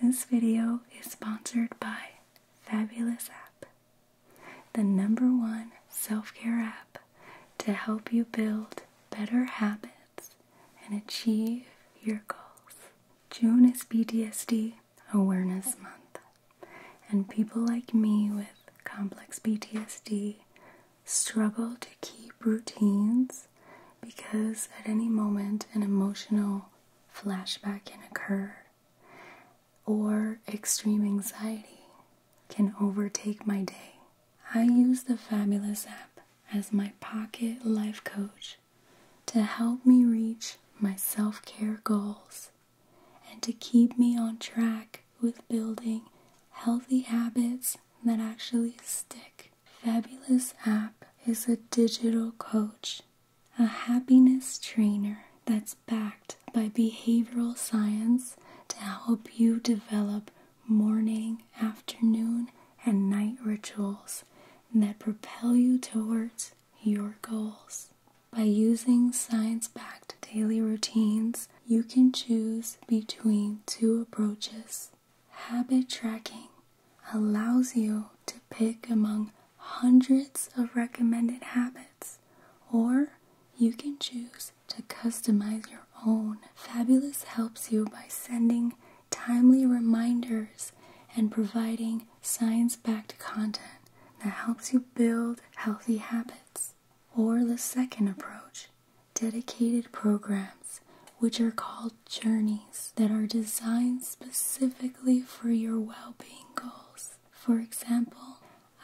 This video is sponsored by Fabulous App, the number one self care app to help you build better habits and achieve your goals. June is PTSD Awareness Month, and people like me with complex PTSD struggle to keep routines because at any moment an emotional flashback can occur or extreme anxiety can overtake my day. I use the Fabulous app as my pocket life coach to help me reach my self care goals and to keep me on track with building healthy habits that actually stick. Fabulous app is a digital coach a happiness trainer that's backed by behavioral science to help you develop morning, afternoon, and night rituals that propel you towards your goals. By using science backed daily routines, you can choose between two approaches habit tracking allows you to pick among hundreds of recommended habits, or you can choose to customize your own. Fabulous helps you by sending timely reminders and providing science backed content that helps you build healthy habits. Or the second approach, dedicated programs, which are called journeys that are designed specifically for your well being goals. For example,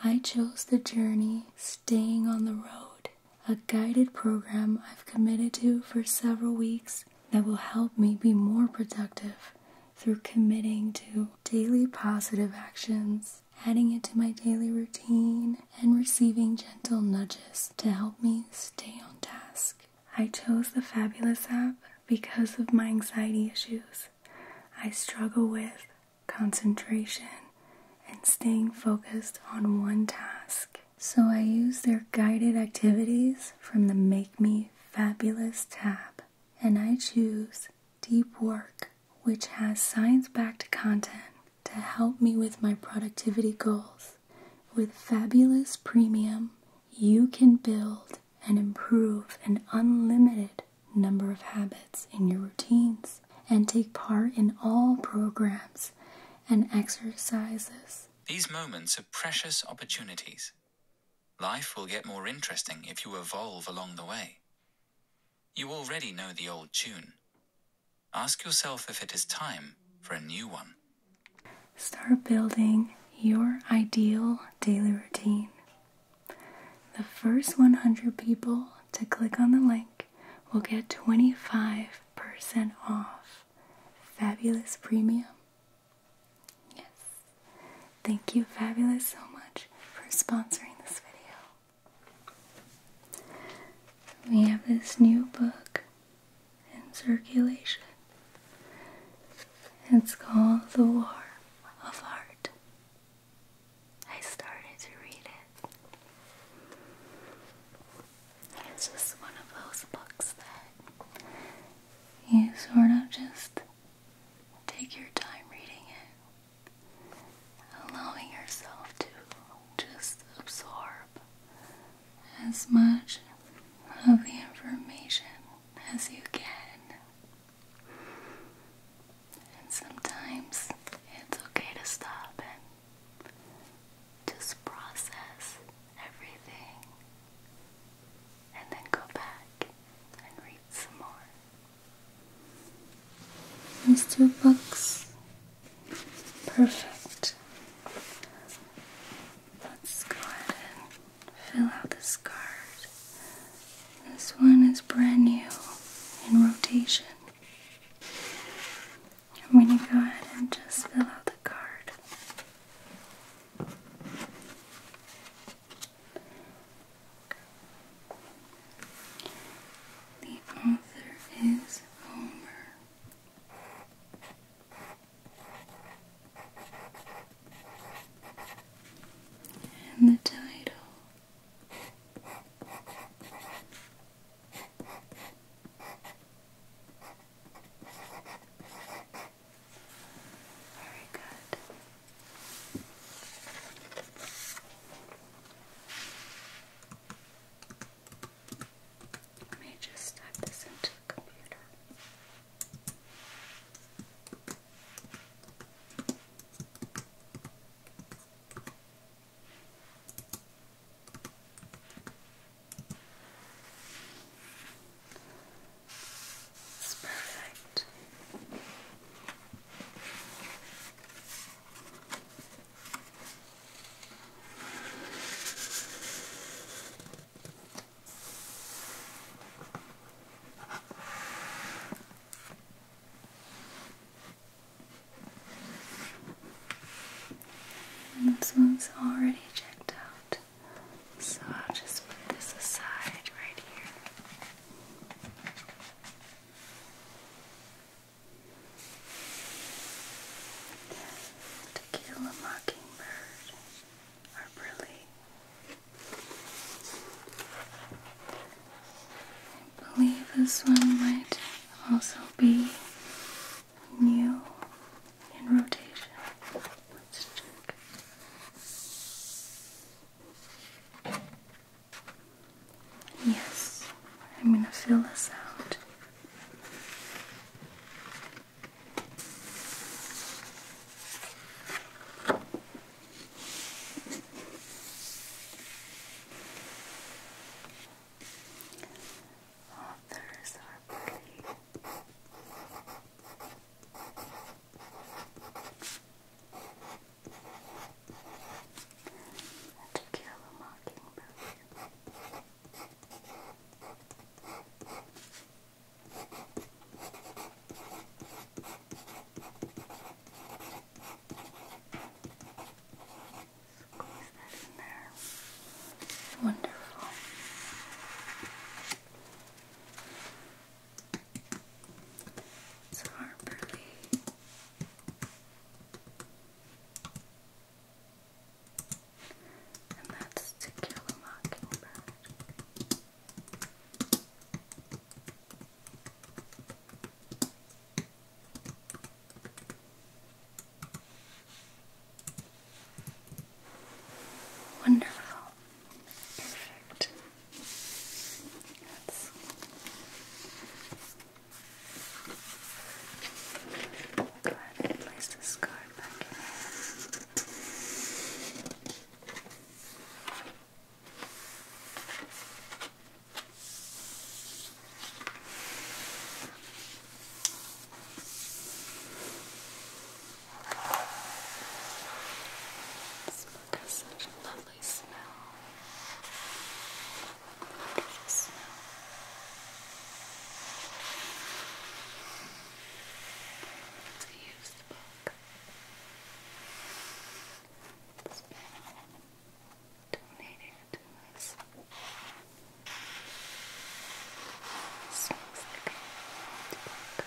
I chose the journey Staying on the Road, a guided program I've committed to for several weeks that will help me be more productive through committing to daily positive actions, adding it to my daily routine, and receiving gentle nudges to help me stay on task. I chose the Fabulous app because of my anxiety issues. I struggle with concentration and staying focused on one task. So I use their guided activities from the Make Me Fabulous tab. And I choose Deep Work, which has science backed content to help me with my productivity goals. With fabulous premium, you can build and improve an unlimited number of habits in your routines and take part in all programs and exercises. These moments are precious opportunities. Life will get more interesting if you evolve along the way. You already know the old tune. Ask yourself if it is time for a new one. Start building your ideal daily routine. The first 100 people to click on the link will get 25% off. Fabulous Premium. Yes. Thank you, Fabulous, so much for sponsoring this video. We have this new book in circulation. It's called The War of Art. I started to read it. It's just one of those books that you sort of just take your time reading it, allowing yourself to just absorb as much of the information as you can. And sometimes it's okay to stop and just process everything and then go back and read some more. These two books. Perfect let's go ahead and fill out this card. This one is brand new in rotation. I'm going to go ahead and just fill out the card. The author is Homer and the title. good. Let me just type this into the computer. perfect. And this one's already checked out, so I'll just put this aside right here. To kill a mockingbird. I believe this one might also be new in rotation. Let's check. Yes, I'm gonna fill this out. Authors are pretty. And to kill a mockingbird. Squeeze that Wonderful. It's a and that's To Kill a Mockingbird. Wonderful. Perfect. That's Go ahead and place this card back in Smoke has such a lovely smell. Beautiful smell to use the book. It's been donated to us. It smells like a book. It's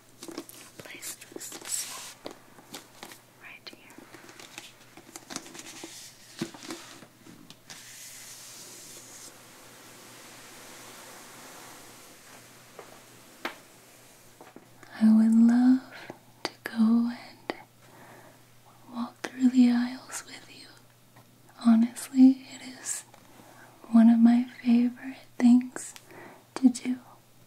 I would love to go and walk through the aisles with you. Honestly, it is one of my favorite things to do.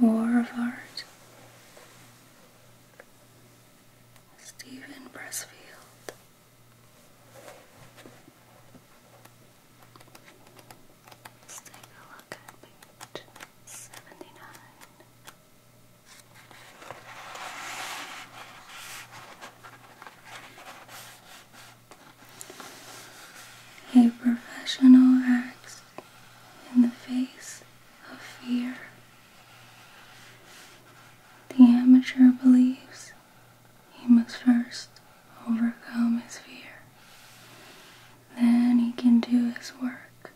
The War of Art, Stephen Pressfield. seventy nine. A professional acts in the face of fear. The amateur believes he must first overcome his fear. Then he can do his work.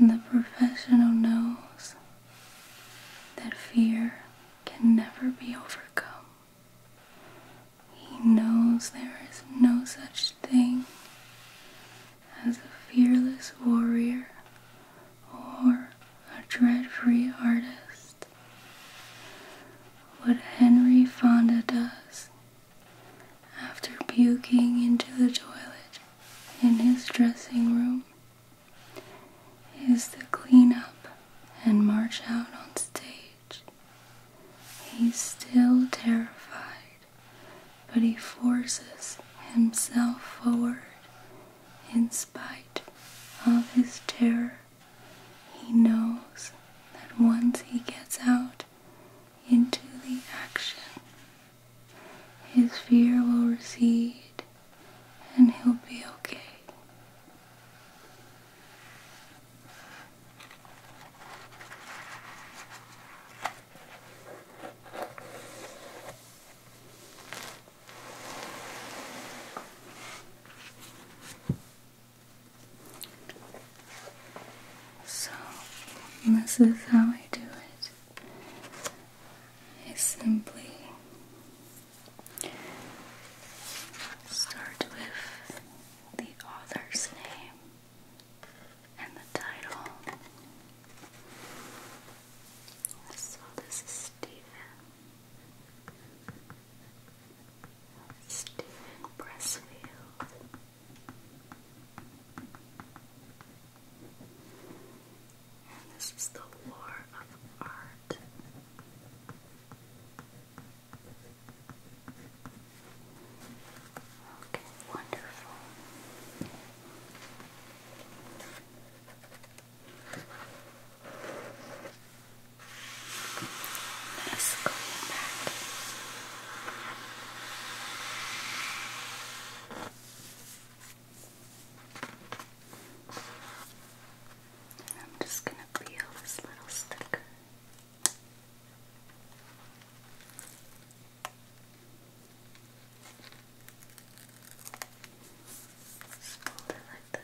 The professional knows that fear can never be overcome. He knows there is no such thing as a fearless warrior or a dread free artist. What Henry Fonda does after puking into the toilet in his dressing room is clean up and march out on stage. He's still terrified, but he forces himself forward in spite of his terror. He knows that once he gets out into the action, his fear will recede and he'll be okay. So, this is how I do it. I simply start with the author's name and the title. So this Stephen. Stephen Pressfield this is the War of Art. Okay, wonderful. Let's go back. I'm just going to peel this little sticker. Just like this.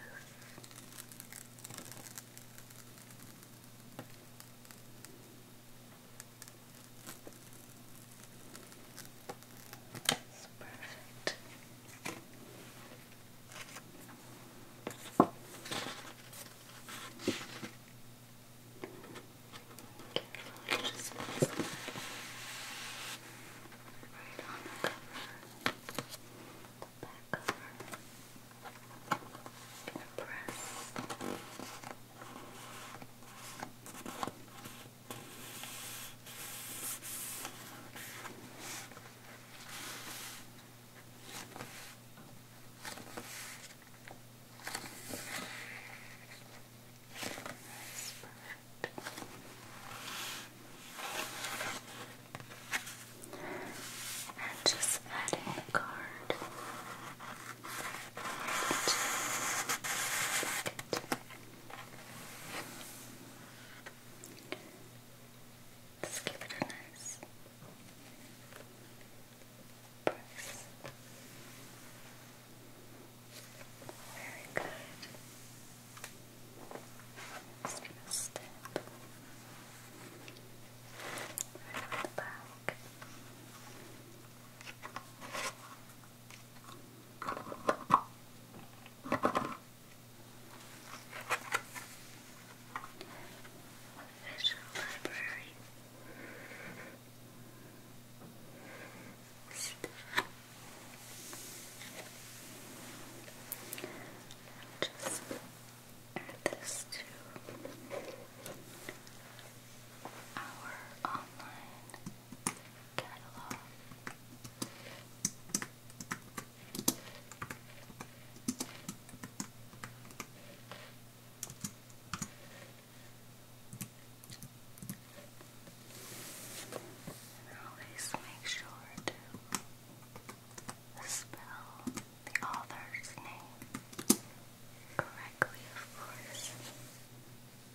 That's perfect. Carefully just place that right on the cover, the back cover. I'm gonna press. That's perfect. just adding a card. Let's give it a nice press. Very good. Just step. Right the back. National Library. Just add this to our online catalog. And always make sure to spell the author's name correctly,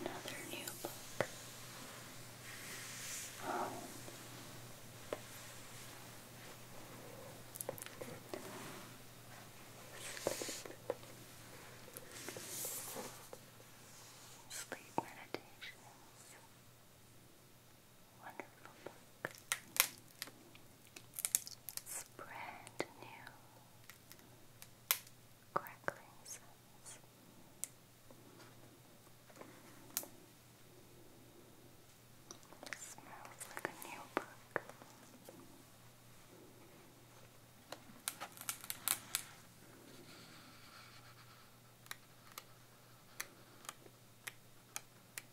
Another new book. Sleep meditations wonderful book. It's brand new, crackling sounds. smells like a new book.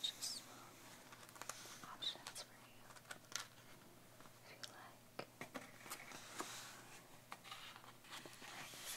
Just some options for you if you like. Magazines.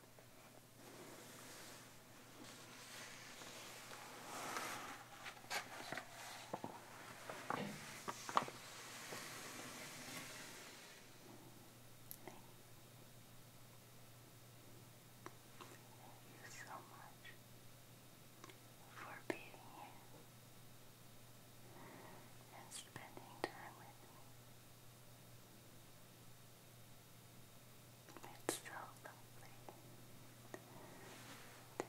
Thank you so much for being here and spending time with me. It's so lovely to have you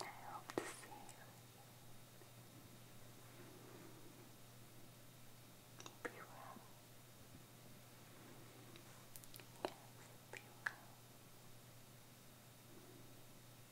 I hope to see you Be well. Yes, be well.